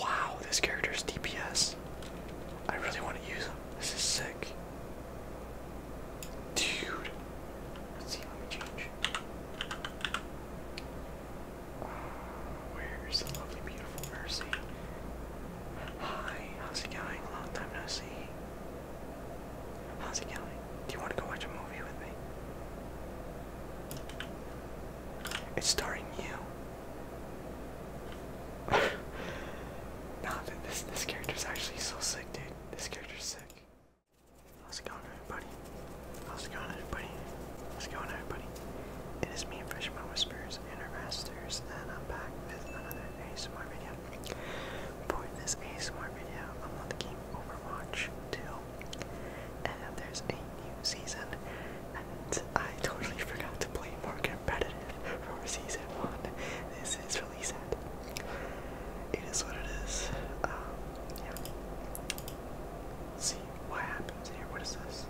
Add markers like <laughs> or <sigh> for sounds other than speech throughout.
Wow, this character's DPS. I really want to use him. This is sick. Dude. Let's see, let change. where's the lovely, beautiful Mercy? Hi, how's it going? Long time no see. How's it going? Do you want to go watch a movie with me? It's starring you. <laughs> nah, this this character's actually so sick, dude. This character's sick. How's it going, everybody? How's it going, everybody? How's it going, everybody? It is me, Freshman Whispers, Intermasters, and I'm back with another ASMR video for this ASMR video. I'm on the game Overwatch too. and there's a new season, and I totally <laughs> forgot to play more competitive for season 1. This is really sad. It is what it is. Um, yeah. see what happens here. What is this?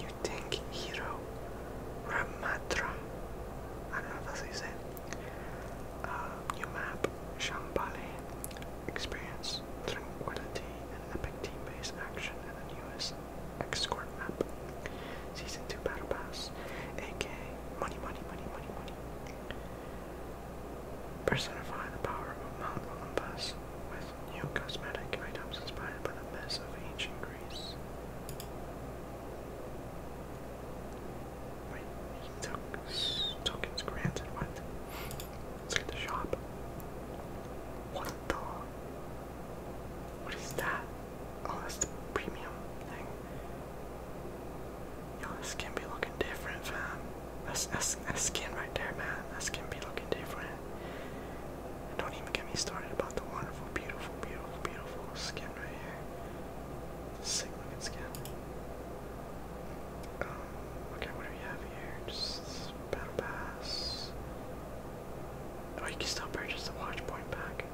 You tank hero Ramatra. I don't know if that's how map Shambhala experience, tranquility, and epic team-based action in the newest x map. Season 2 Battle Pass, aka Money, Money, Money, Money, Money. Personify the power of Mount Olympus with new cosmetic items inspired by the myths of ancient Greece. Wait, he took tokens granted. What? Let's look at the shop. What the? What is that? Oh, that's the premium thing. Yo, skin be looking different, fam. That's, that's, that's skin right there, man. That skin be looking different don't even get me started about the wonderful, beautiful, beautiful, beautiful skin right here. Sick looking skin. Um, okay, what do we have here? Just battle pass. Oh, you can still purchase the watch point pack.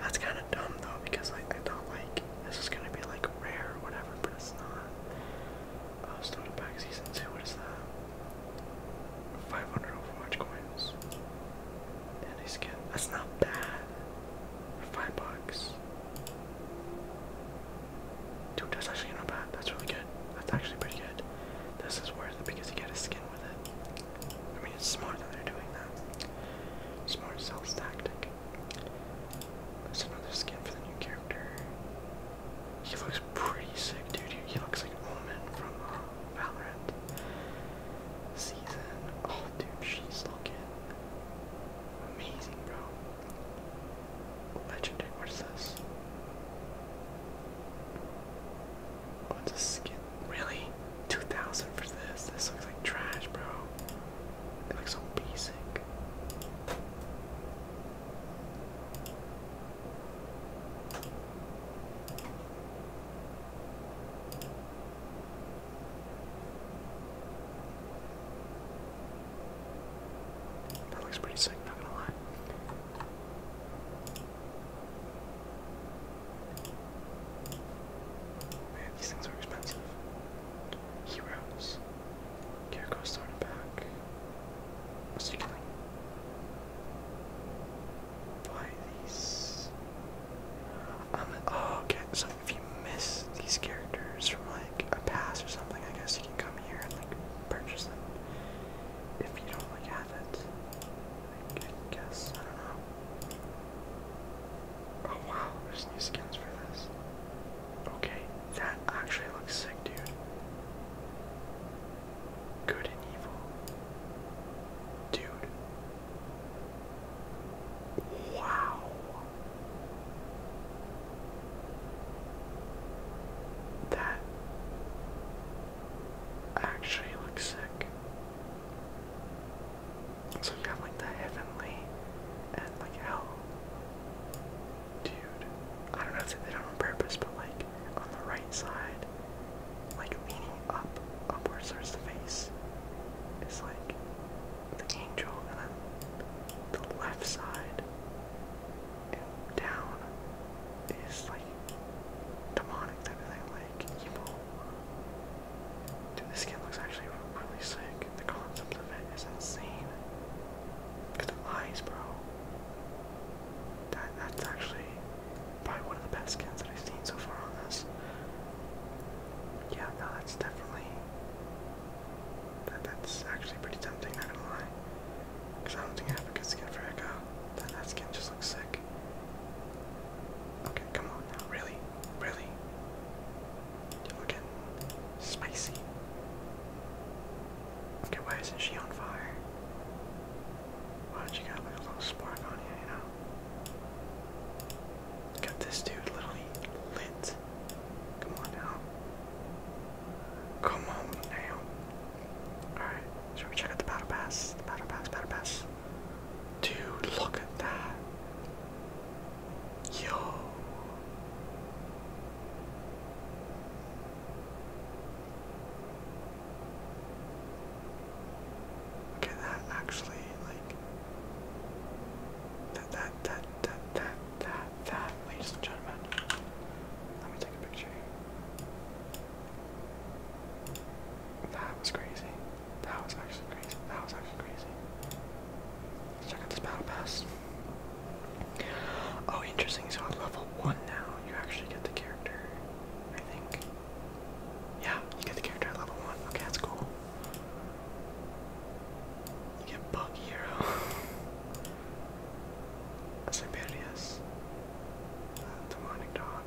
That's kind of dumb though, because like I don't like this is gonna be like rare or whatever, but it's not. Uh, starter pack season two. What is that? 500 Overwatch coins. Daddy skin. That's not bad. For five bucks. Dude, that's actually not bad. That's really good. That's actually pretty good. This is worth it because you get a skin with it. I mean, it's smart that they're doing that. Smart sales tactic. There's another skin for the new character. He looks pretty sick, dude. He looks like a woman from uh, Valorant season. Oh, dude, she's looking amazing, bro. Legendary. What is this? Oh, a skin. Really? 2000 for this? This looks like trash, bro. It looks so basic. That looks pretty sick, not gonna lie. Man, these things are expensive. Heroes. Care cost back. What's he killing? by these. Um, oh, okay, so if you miss these characters from like a pass or something, I guess you can come here and like purchase them if you don't like have it. I guess, I don't know. Oh wow, there's new skins for this. Okay, that actually looks sick, dude. Good and evil. Dude. Wow. That actually looks sick. So you have like the heavenly and like hell. Dude. I don't know they did it on purpose, but like on the right side, like leaning up, upwards towards the face, is like the angel, and then the left side and down is like demonic type of thing, like evil. Dude, this skin looks actually really sick. The concept of it is insane. Look at the eyes, bro. That that's actually probably one of the best skins that I've seen so far on this. Yeah, no, that's definitely that, that's actually pretty tempting, not gonna lie. Because I don't think I have a good skin for Echo. That, that skin just looks sick. Okay, come on really, really. You're looking spicy. Okay, why isn't she on fire? Why don't you got like a little spark on you, you know? Got this dude literally lit. Come on now. Come on now. Alright, should we check out the battle pass? battle pass, battle pass. Dude, look at that. Yo. Okay, that actually like that that that that that that that ladies and gentlemen. Let me take a picture That was crazy. That was actually crazy. That was actually crazy. Let's check out this battle pass. Oh interesting, so on level one now you actually get the character, I think. Yeah, you get the character at level one. Okay, that's cool. You get Bug Hero. Siberius. <laughs> Uh, demonic Dog.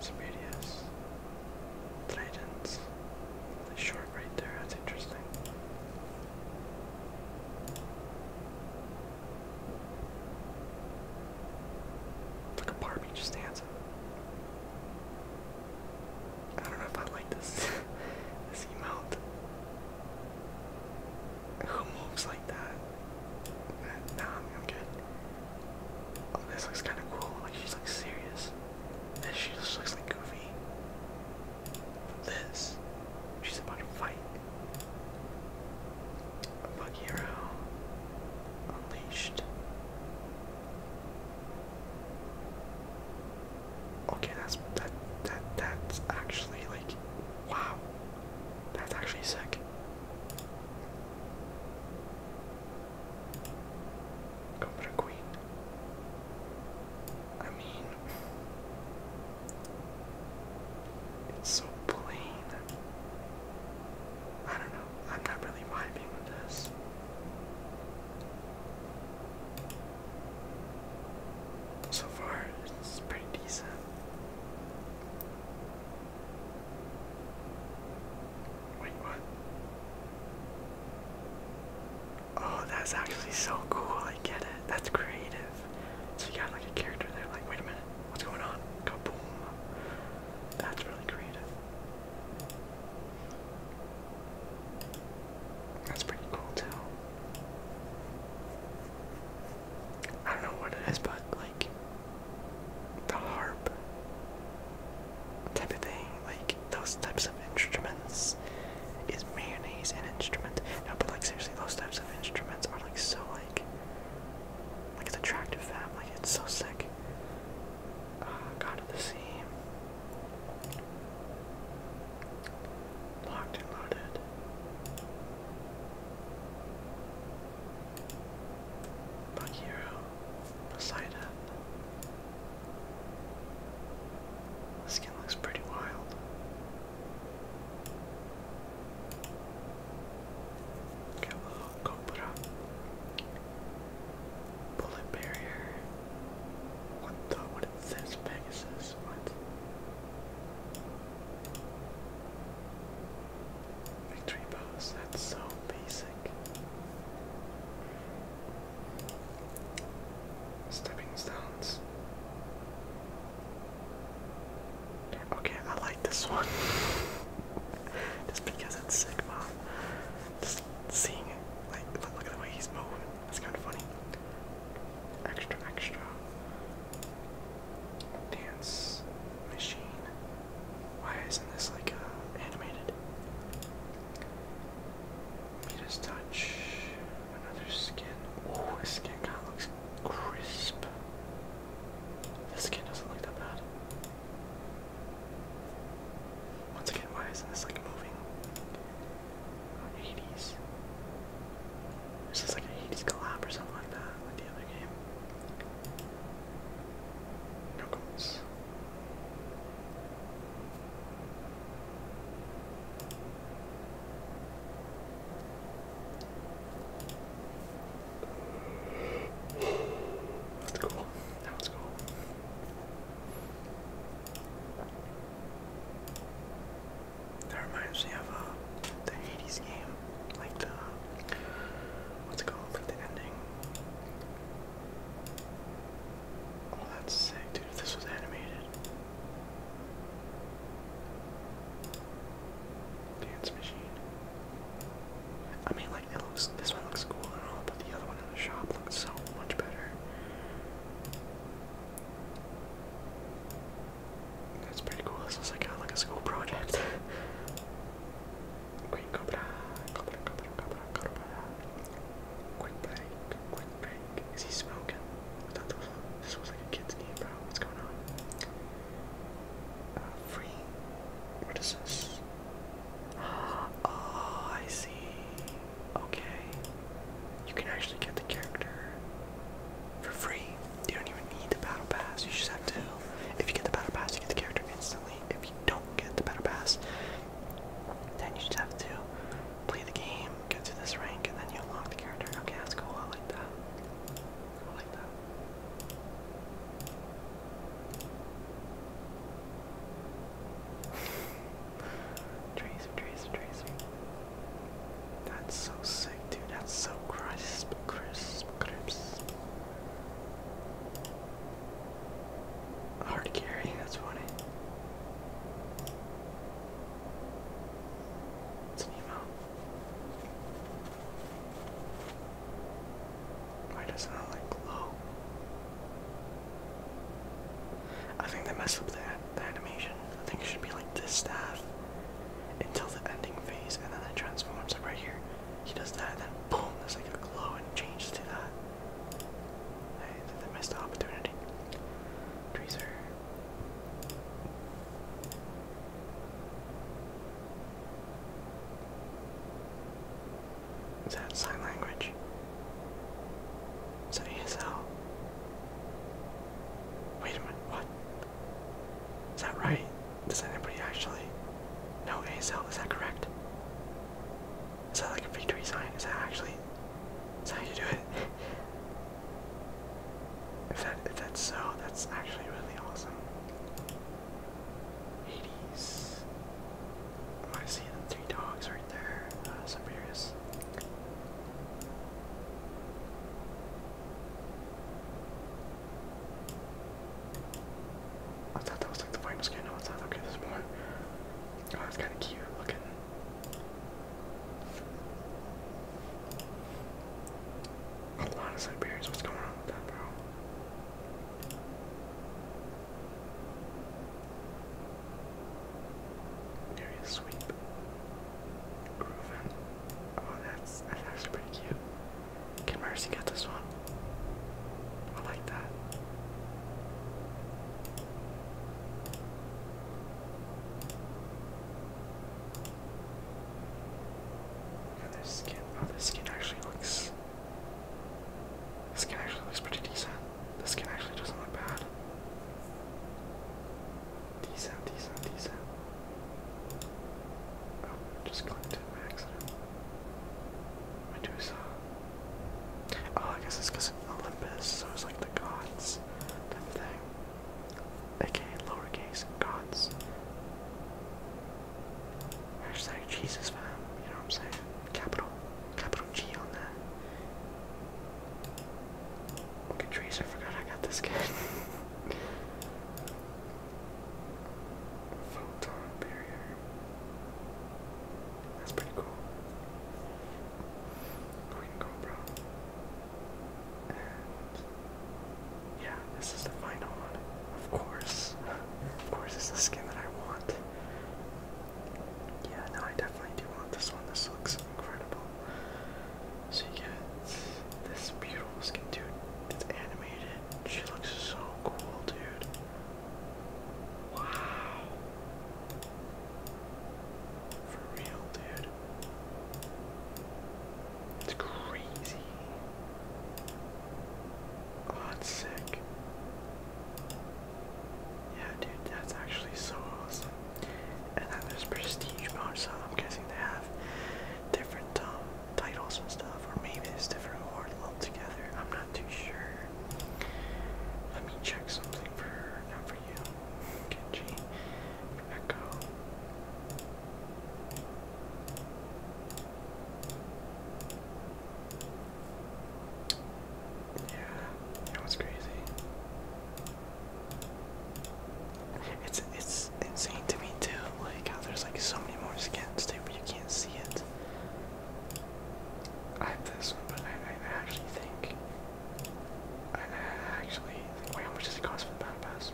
Siberius. Titans. The short right there, that's interesting like a Barbie just stands. I don't know if I like this <laughs> this emote. Who moves like that? Nah, I'm, good. Oh, this looks kind of cool. Like she's like serious. This she just looks like goofy this. She's about to fight. Bug Hero Unleashed. Okay, that's that that that's actually like wow. That's actually sick. Go queen. I mean it's so plain. I don't know. I'm not really vibing with this. So far, it's pretty decent. Wait, what? Oh, that's actually so cool. I get it. That's creative. So you got like a character there, like, wait a minute, what's going on? Kaboom. That's really creative. That's pretty cool too. I don't know what it is, but like the harp type of thing, like those types of instruments is mayonnaise an instrument. No, but like seriously, those types of instruments are like so like like it's attractive fab, like it's so sick. Ah, God of the Sea. Locked and loaded. Bug Poseidon. The skin looks pretty wild. Got a little Bullet barrier. What the? What is this? Pegasus? What? Victory pose. That's so basic. Stepping stones. Okay, I like this one. <laughs> Just because it's Sigma. Just seeing it. Like, look at the way he's moving. It's kind of funny. Extra, extra. Dance machine. Why isn't this like uh, animated? Midas touch. Another skin. Oh, his skin kind of looks crisp. This skin doesn't look that bad. Once again, why isn't this like moving? Oh, uh, 80s. Is like an 80s collab or something like that, like the other game? No goals. That's cool. That one's cool. That reminds me of uh, the Hades game, like the what's it called, like the ending. Oh, that's sick, dude. If this was animated, Dance machine. I mean, like it looks. This one looks cool and all, but the other one in the shop looks so much better. That's pretty cool. This looks like a, like a school project. Queen <laughs> Cobra, Cobra, Cobra, Cobra, Cobra. Quick break, quick is he smoking? What the fuck? This was like a kid's name, bro. What's going on? Uh, free. What is this? <gasps> Oh, I see. Okay. You can actually get the character for free. You don't even need the battle pass. You just have to. If you get the battle pass, you get the character instantly. If you don't get the battle pass, then you just have to play the game, get to this rank, and then you unlock the character. Okay, that's cool. I like that. I like that. <laughs> Tracer, Tracer, Tracer. That's so sick, dude. That's so crisp, crisp, crisp. Hard carry, that's funny. It's Nemo. Why doesn't it like glow? I think they messed up the, the animation. I think it should be like this staff until the ending phase, and then it transforms. right here, he does that, and then boom, there's like a glow and changes to that. I, they missed the opportunity. Trees is that sign language? Is that ASL? Wait a minute, what? Is that right? Does anybody actually know ASL? Is that correct? Is that like a victory sign? Is that actually is that how you do it? If that if that's so, that's actually really awesome. Hades. I see the three dogs right there. Uh, Siberius. I thought that was like the final skin. No, it's not. Okay, there's more. Oh, that's kind of cute looking. A lot of Siberians. What's going on with that, bro? Area sweep. Groovin. Oh, that's that's actually pretty cute. Can Mercy get this one? I like that this skin, oh, this skin actually looks. This skin actually looks pretty decent. This skin actually doesn't look bad. Decent, decent, decent. Oh, just clicked by accident. Medusa. Oh, I guess it's because Olympus, so it's like the gods type of thing. Okay, lowercase gods. Hashtag Jesus fam, you know what I'm saying? Capital, capital G on that. Okay, trees, I forgot I got this guy. <laughs> Photon barrier. That's pretty cool yeah, this is the final one. Of course. Of course it's the skin that I want. Yeah, no, I definitely do want this one. This looks incredible. So you get this beautiful skin, dude. It's animated. She looks so cool, dude. Wow. For real, dude. It's crazy. Oh, sick. Yeah, dude, that's actually so awesome. And then there's prestige mode, so I'm guessing they have different um, titles and stuff, or maybe it's different award lumped I'm not too sure. Let me check something for for Yeah, that was crazy. It's it's insane to me too, like how there's like so many more skins too, but you can't see it. I have this one, but I, I actually think actually, wait, how much does it cost for the battle pass?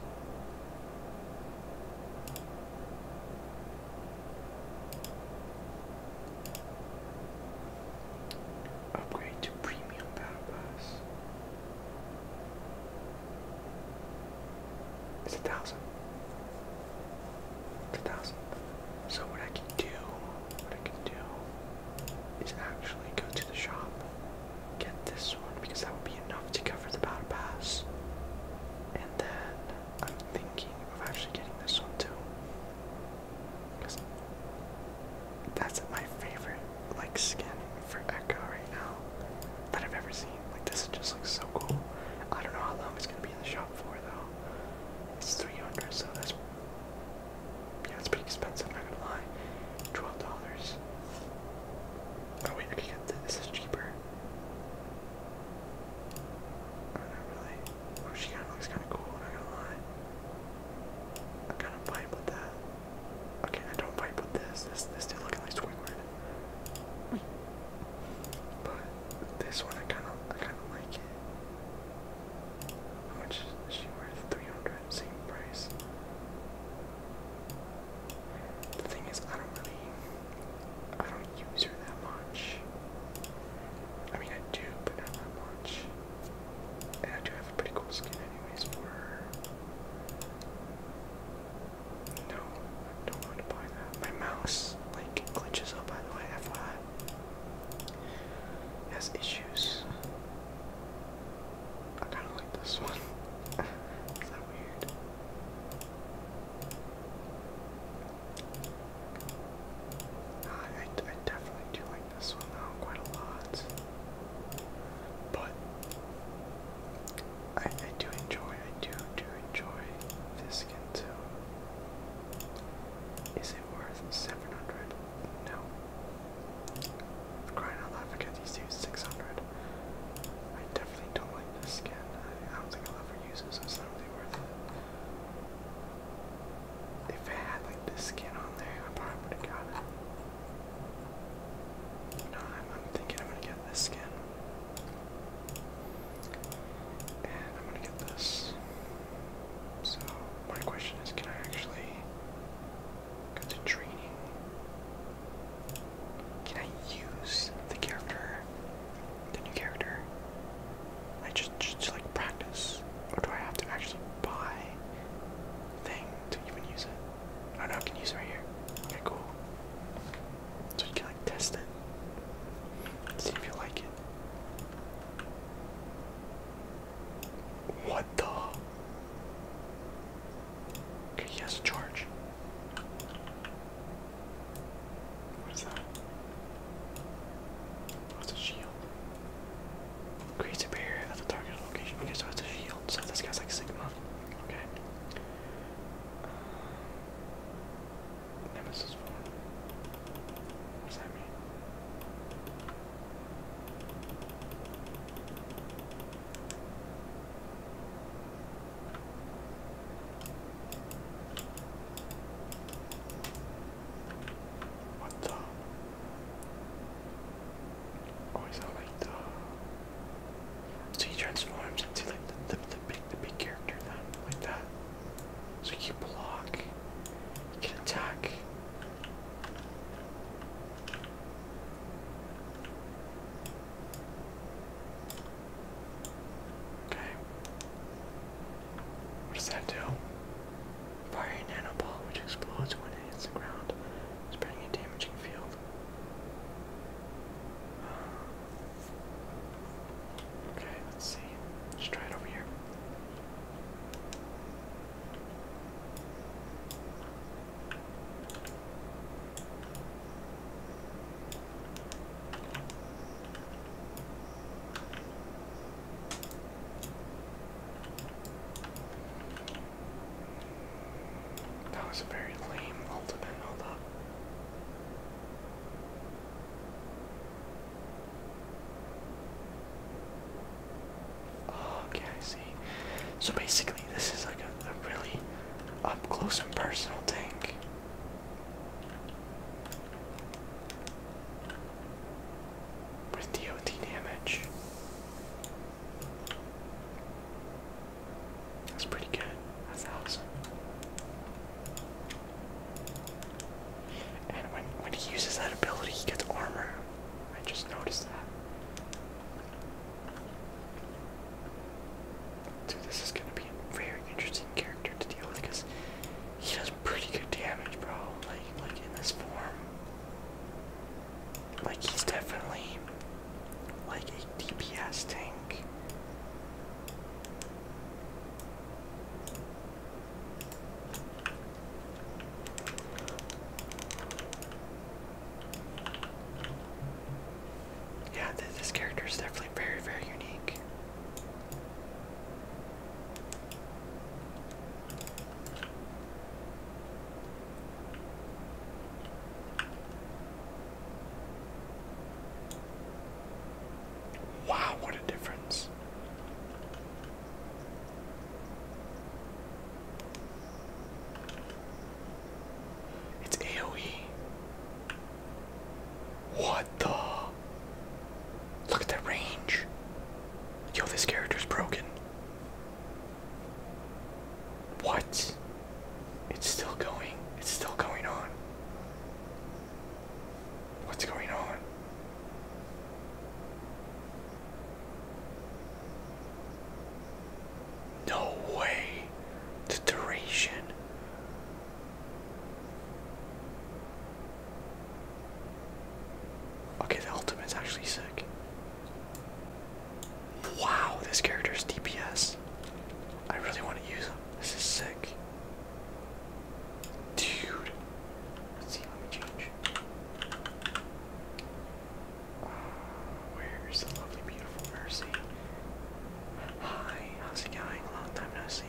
Upgrade to premium battle pass. It's a thousand. a thousand. So what I can do, what I can do is actually go to the shop, get this one because that would be enough to cover the battle pass. And then I'm thinking of actually getting this one too. Because that's my favorite like skin for Echo right now that I've ever seen. Like this just looks so cool. I don't know how long it's gonna be in the shop for though. It's 300, so that's yeah, it's pretty expensive, I'm not gonna lie. Twelve dollars. Oh wait, I can get this. This is cheaper. Oh, not really. Oh, she kind of looks kind of cool. Not gonna lie. i kind of vibe with that. Okay, I don't vibe with this. This this dude looking like Squidward. But this one, I kind of I kind of like it. How much is she worth? 300, same price. The thing is, I don't really, I don't use her that much. I mean, I do, but not that much. And I do have a pretty cool skin, anyways, for her. No, I don't want to buy that. My mouse, like, glitches up, by the way, FYI has issues. I kind of like this one. <laughs> Is that weird? I, I definitely do like this one though quite a lot. But I, I do enjoy, I do do enjoy this skin too. Is it worth 700? No. Crying out loud, forget these two. 600. I definitely don't like this skin. I, don't think I'll ever use this. I'm not really worth it. If I had like this skin on there, I probably would have got it. No, I'm, I'm thinking I'm gonna get this skin. And I'm gonna get this. So my question is, can I actually go to training? Can I use the character, the new character? I just, just like practice, or do I have to actually buy thing to even use it? Oh no, I can use it right here. Okay, cool. So you can like test it, see if you like it. What the? Okay, he charge. What is that? What's oh, a shield? Creates a barrier at the target location. Okay, so it's a shield. So this guy's like Sigma. Okay. Nemesis What does that mean? What the? Oh, is that So he transforms into like the, the, big the big character then, like that. So you block, attack. Okay. What does that do? Fire a nanoball which explodes when it hits the ground, spreading a damaging field. okay, let's see. Let's try it over here. That was a very lame ultimate, hold up okay, I see. So basically, this is like a, a really up close and personal tank. With DOT damage. That's pretty good. That's awesome. And when when he uses that ability, he gets armor. I just noticed that. Dude, this is gonna be a very interesting character to deal with because he does pretty good damage, bro. Like like in this form. Like he's definitely like a DPS tank. Yeah, this character is definitely very, very unique. Wow, what a difference. It's AoE. What the? Look at that range. Yo, this character's broken. What? It's still going. It's still going on. What's going on? No way. The duration. Okay, the ultimate's actually sick. Wow, this character's DPS. I really want to use him. This is sick. Dude. Let's see, let me change. where's the lovely, beautiful Mercy? Hi, how's it going? Long time no see.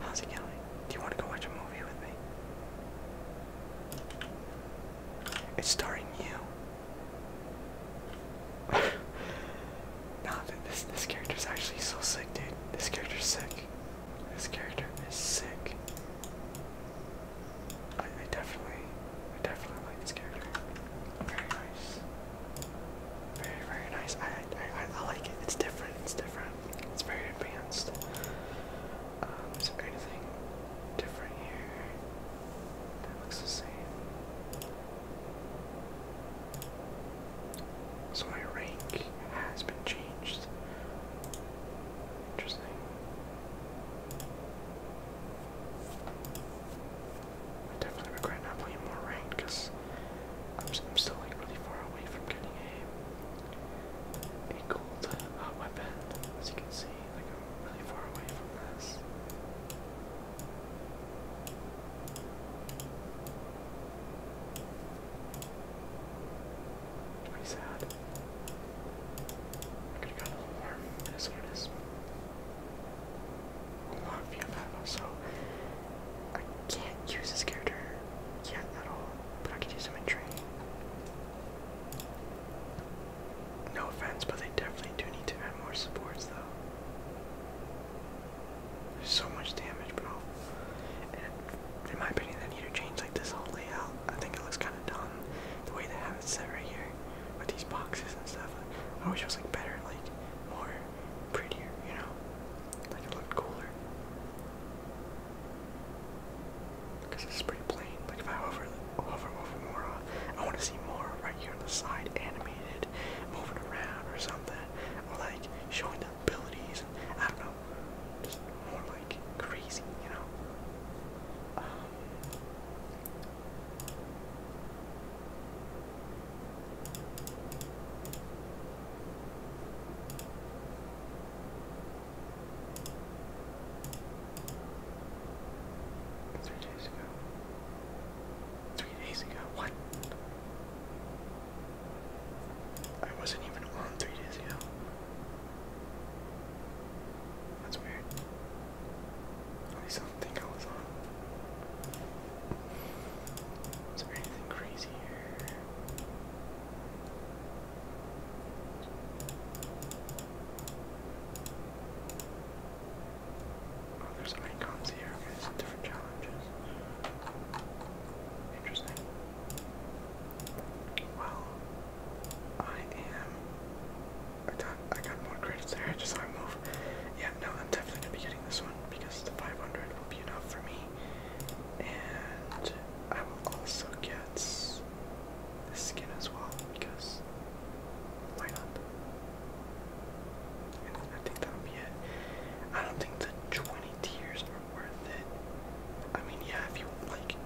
How's it going? Do you want to go watch a movie with me? It's starring you. <laughs> Nah, this this is actually so sick, dude. This character is sick. This character is sick. I, I definitely, I definitely like this character. Very nice. Very very nice. I I I, like it. It's different. It's different. It's very advanced. Um, is there anything different here? That looks the same. So my rank has been changed. Interesting. I definitely regret not playing more ranked because I'm, still like really far away from getting a a gold uh, weapon. As you can see, like really far away from this. It's sad. I could have gotten a little more. That is what it is. A lot of you so I can't use this character yet at all, but I can use him in training. No offense, but they definitely do need to add more supports though. So much damage, bro. And in my opinion, they need to change like this whole layout. I think it looks kind of dumb the way they have it set right here with these boxes and stuff. I wish it was like better, like more prettier, you know, like it looked cooler. Cause it's pretty plain. Like if I hover, hover over more, I want to see more right here on the side, animated, moving around or something, like showing their abilities and I don't know, just more like crazy, you know. Um, three days ago. Three days ago. What? I wasn't even on three days ago. That's weird. I don't think I was on. Is there anything crazy Oh, there's icons here. different challenges. Interesting. Well, I am. I got, I got more credits there. just saw move. Yeah, no, I'm definitely gonna be getting this one because the 500 will be enough for me, and I will also get the skin as well because why not? I think that'll be it. I don't think the 20 tiers are worth it. I mean, yeah, if you like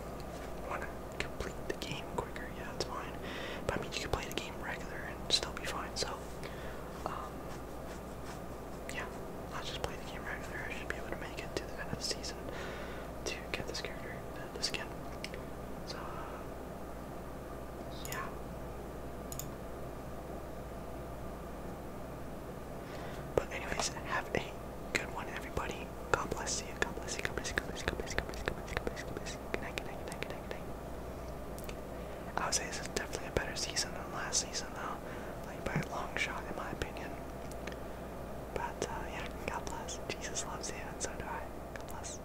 <laughs> want to complete the game quicker, yeah, that's fine. But I mean, you can play the game regular and still be fine. So, um, yeah, I'll just play the game regular. I should be able to make it to the end of the season to get this character, uh, this skin. So, uh, yeah. But anyways, have a good one, everybody. God bless you. God bless you. God bless you. God bless you. God bless you. God bless you. God bless you. God bless you. God bless you. Good night. Good night. Good night. Good night. Good night. I would say this is definitely a better season than last season, though. Like by a long shot, in my opinion. But uh, yeah, God bless. Jesus loves you, and so do I. God bless.